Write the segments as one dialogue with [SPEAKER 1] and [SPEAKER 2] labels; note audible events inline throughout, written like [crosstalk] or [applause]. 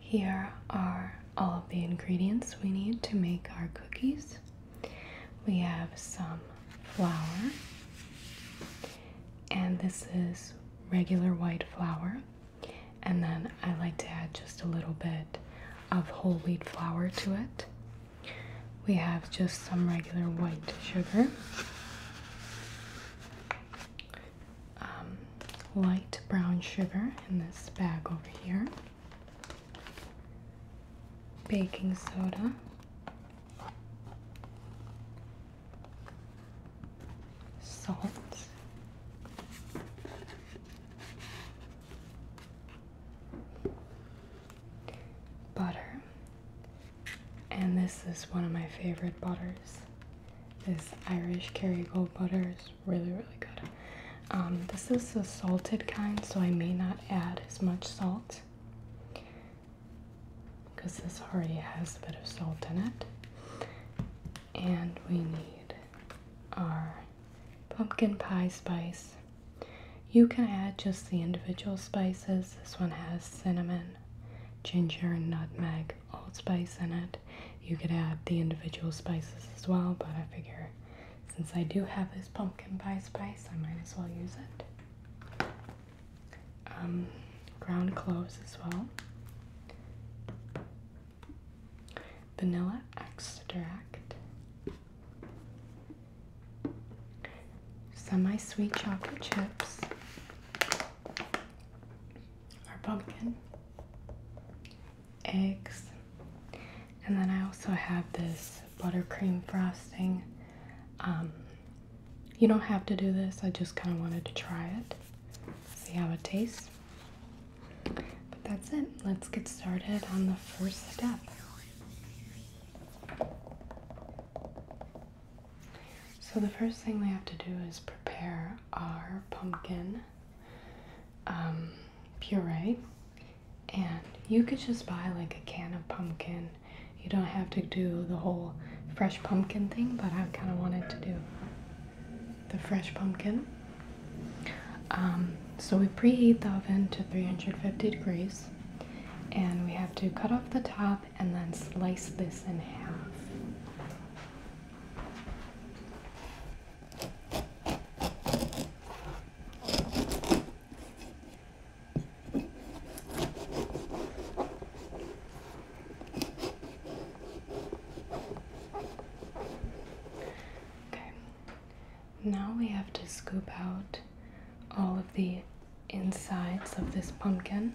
[SPEAKER 1] Here are all of the ingredients we need to make our cookies. We have some flour, and this is regular white flour. And then I like to add just a little bit of whole wheat flour to it. We have just some regular white sugar, um, light brown sugar in this bag over here, baking soda. Salt, butter, and this is one of my favorite butters. This Irish Kerrygold butter is really, really good. Um, this is a salted kind, so I may not add as much salt because this already has a bit of salt in it. And we need our pumpkin pie spice. You can add just the individual spices. This one has cinnamon, ginger, and nutmeg like allspice in it. You could add the individual spices as well, but I figure since I do have this pumpkin pie spice, I might as well use it. Um, ground cloves as well. Vanilla extract. Semi-sweet chocolate chips our pumpkin, eggs, and then I also have this buttercream frosting. Um, you don't have to do this, I just kind of wanted to try it, see how it tastes. But that's it, let's get started on the first step. So, the first thing we have to do is prepare our pumpkin um, puree. And you could just buy like a can of pumpkin. You don't have to do the whole fresh pumpkin thing, but I kind of wanted to do the fresh pumpkin. Um, so we preheat the oven to 350 degrees and we have to cut off the top and then slice this in half. Okay, now we have to scoop out all of the insides of this pumpkin.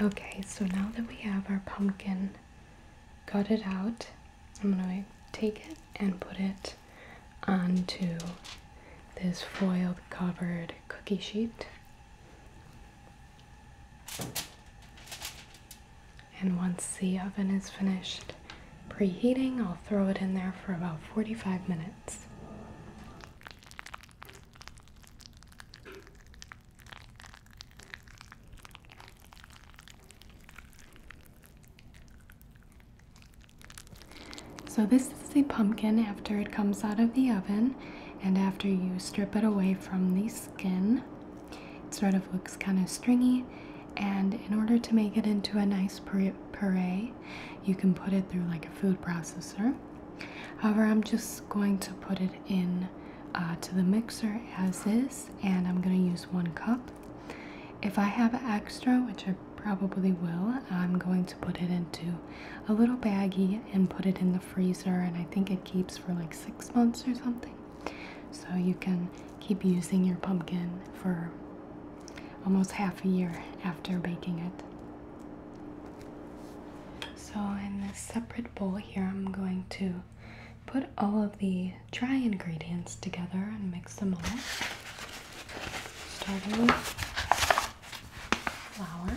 [SPEAKER 1] Okay, so now that we have our pumpkin cut it out, I'm going to take it and put it onto this foiled covered cookie sheet. And once the oven is finished preheating, I'll throw it in there for about 45 minutes. So this is a pumpkin after it comes out of the oven and after you strip it away from the skin. It sort of looks kind of stringy and in order to make it into a nice puree, you can put it through like a food processor. However, I'm just going to put it in uh, to the mixer as is, and I'm going to use one cup. If I have extra, which I probably will, I'm going to put it into a little baggie and put it in the freezer, and I think it keeps for like six months or something. So you can keep using your pumpkin for almost half a year after baking it. So in this separate bowl here, I'm going to put all of the dry ingredients together and mix them all. Starting with flour.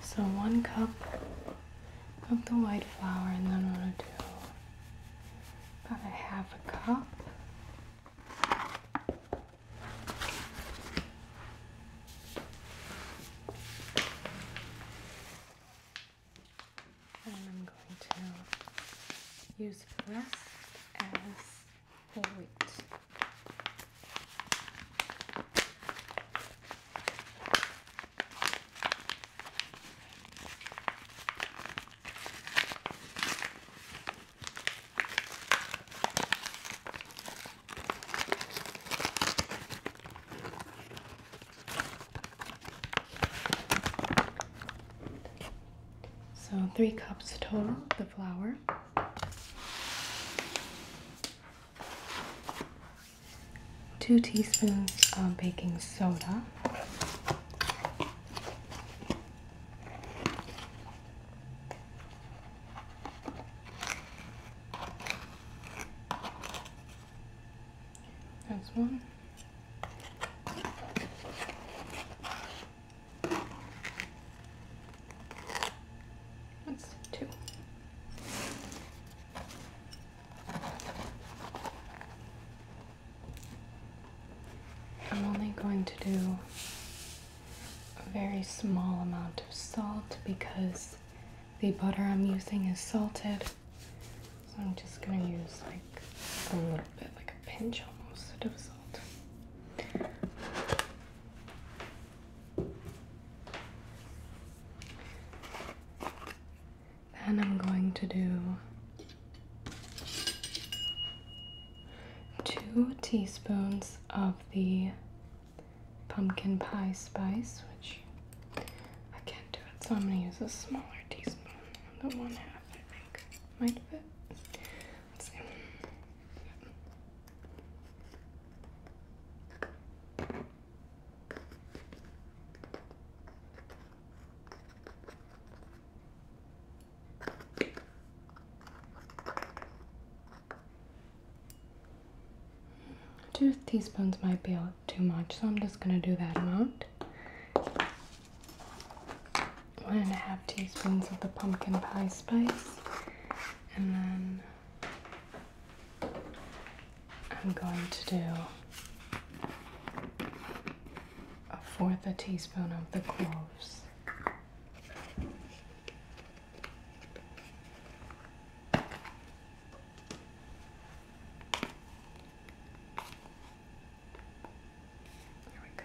[SPEAKER 1] So one cup of the white flour, and then I'm gonna do about a half a cup. And I'm going to use the as whole So, three cups total, the flour two teaspoons of baking soda. That's one. That's two. I'm only going to do a very small amount of salt because the butter I'm using is salted. So I'm just going to use like a little bit, like a pinch almost of salt. Then I'm going to do two teaspoons of the pumpkin pie spice, which I can't do it, so I'm going to use a smaller teaspoon The one half, I think. Might fit. Let's see. Two teaspoons might be too much, so I'm just going to do that amount one and a half teaspoons of the pumpkin pie spice, and then I'm going to do a fourth a teaspoon of the cloves. There we go.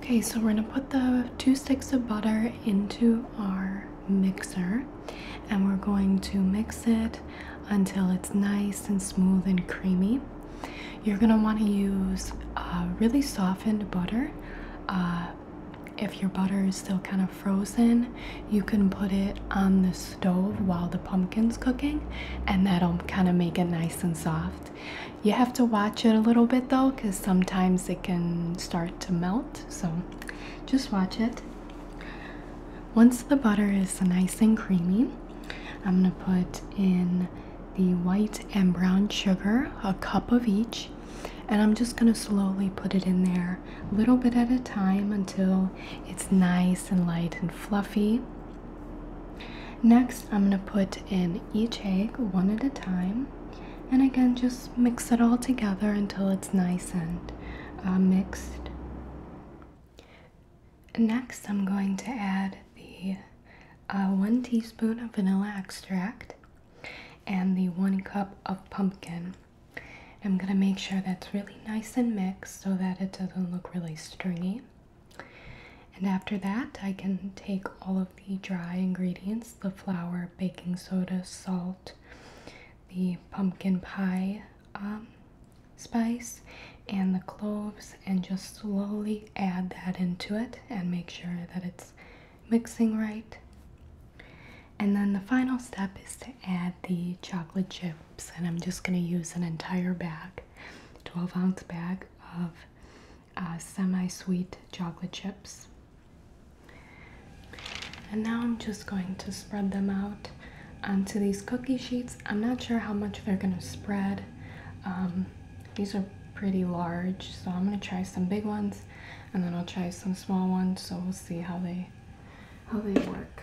[SPEAKER 1] Okay, so we're gonna put the two sticks of butter into our mixer and we're going to mix it until it's nice and smooth and creamy. You're going to want to use uh, really softened butter. Uh, if your butter is still kind of frozen, you can put it on the stove while the pumpkin's cooking, and that'll kind of make it nice and soft. You have to watch it a little bit though, because sometimes it can start to melt, so just watch it. Once the butter is nice and creamy, I'm gonna put in the white and brown sugar, a cup of each, and I'm just gonna slowly put it in there, a little bit at a time until it's nice and light and fluffy. Next, I'm gonna put in each egg one at a time, and again, just mix it all together until it's nice and uh, mixed. Next, I'm going to add the uh, one teaspoon of vanilla extract and the one cup of pumpkin. I'm going to make sure that's really nice and mixed so that it doesn't look really stringy. And after that, I can take all of the dry ingredients the flour, baking soda, salt, the pumpkin pie um, spice and the cloves and just slowly add that into it and make sure that it's mixing right. And then the final step is to add the chocolate chips, and I'm just going to use an entire bag, 12 ounce bag of uh, semi sweet chocolate chips. And now I'm just going to spread them out onto these cookie sheets. I'm not sure how much they're gonna spread. Um, these are pretty large, so I'm gonna try some big ones and then I'll try some small ones, so we'll see how they how they work.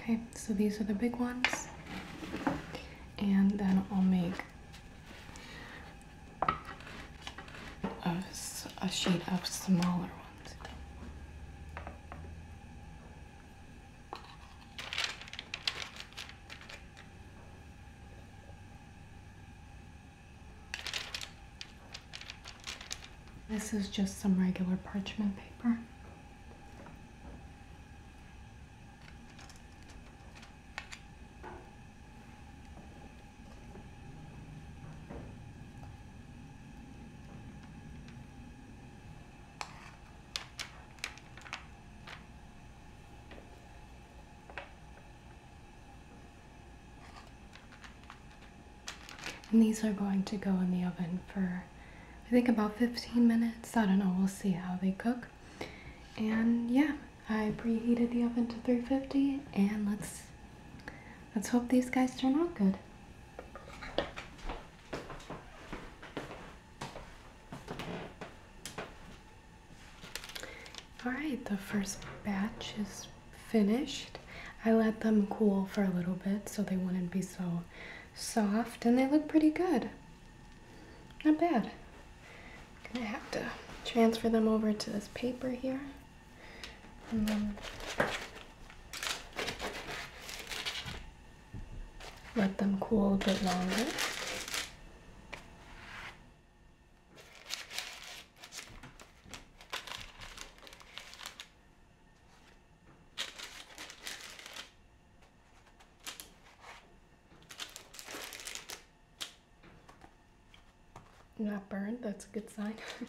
[SPEAKER 1] Okay, so these are the big ones. And then I'll make a, sheet of smaller ones. This is just some regular parchment paper. And these are going to go in the oven for I think about 15 minutes. I don't know, we'll see how they cook. And yeah, I preheated the oven to 350 and let's let's hope these guys turn out good. All right, the first batch is finished. I let them cool for a little bit so they wouldn't be so soft and they look pretty good. Not bad. I'm gonna have to transfer them over to this paper here. And then let them cool a bit longer. Not burned, that's a good sign. [laughs]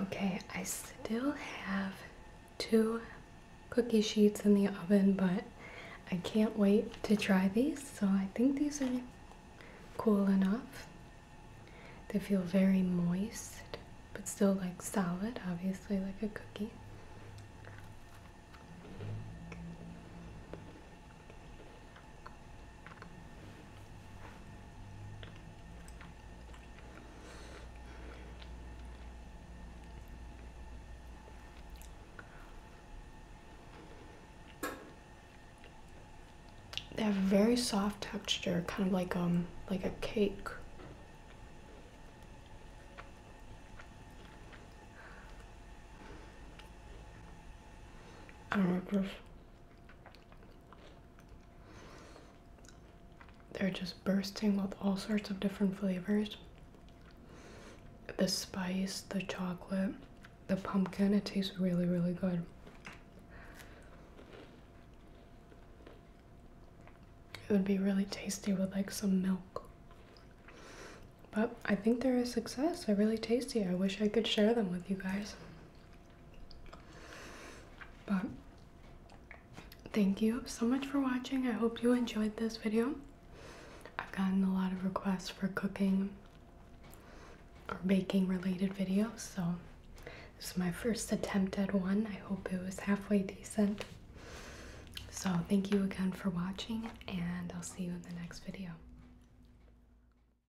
[SPEAKER 1] Okay, I still have two cookie sheets in the oven, but I can't wait to try these. So I think these are cool enough. They feel very moist, but still like solid, obviously like a cookie. They have a very soft texture, kind of like um like a cake. I do they're just bursting with all sorts of different flavors the spice, the chocolate, the pumpkin. It tastes really, really good. It would be really tasty with like some milk. But I think they're a success. They're really tasty. I wish I could share them with you guys. But thank you so much for watching. I hope you enjoyed this video. I've gotten a lot of requests for cooking or baking related videos, so this is my first attempt at one. I hope it was halfway decent. So thank you again for watching, and I'll see you in the next video.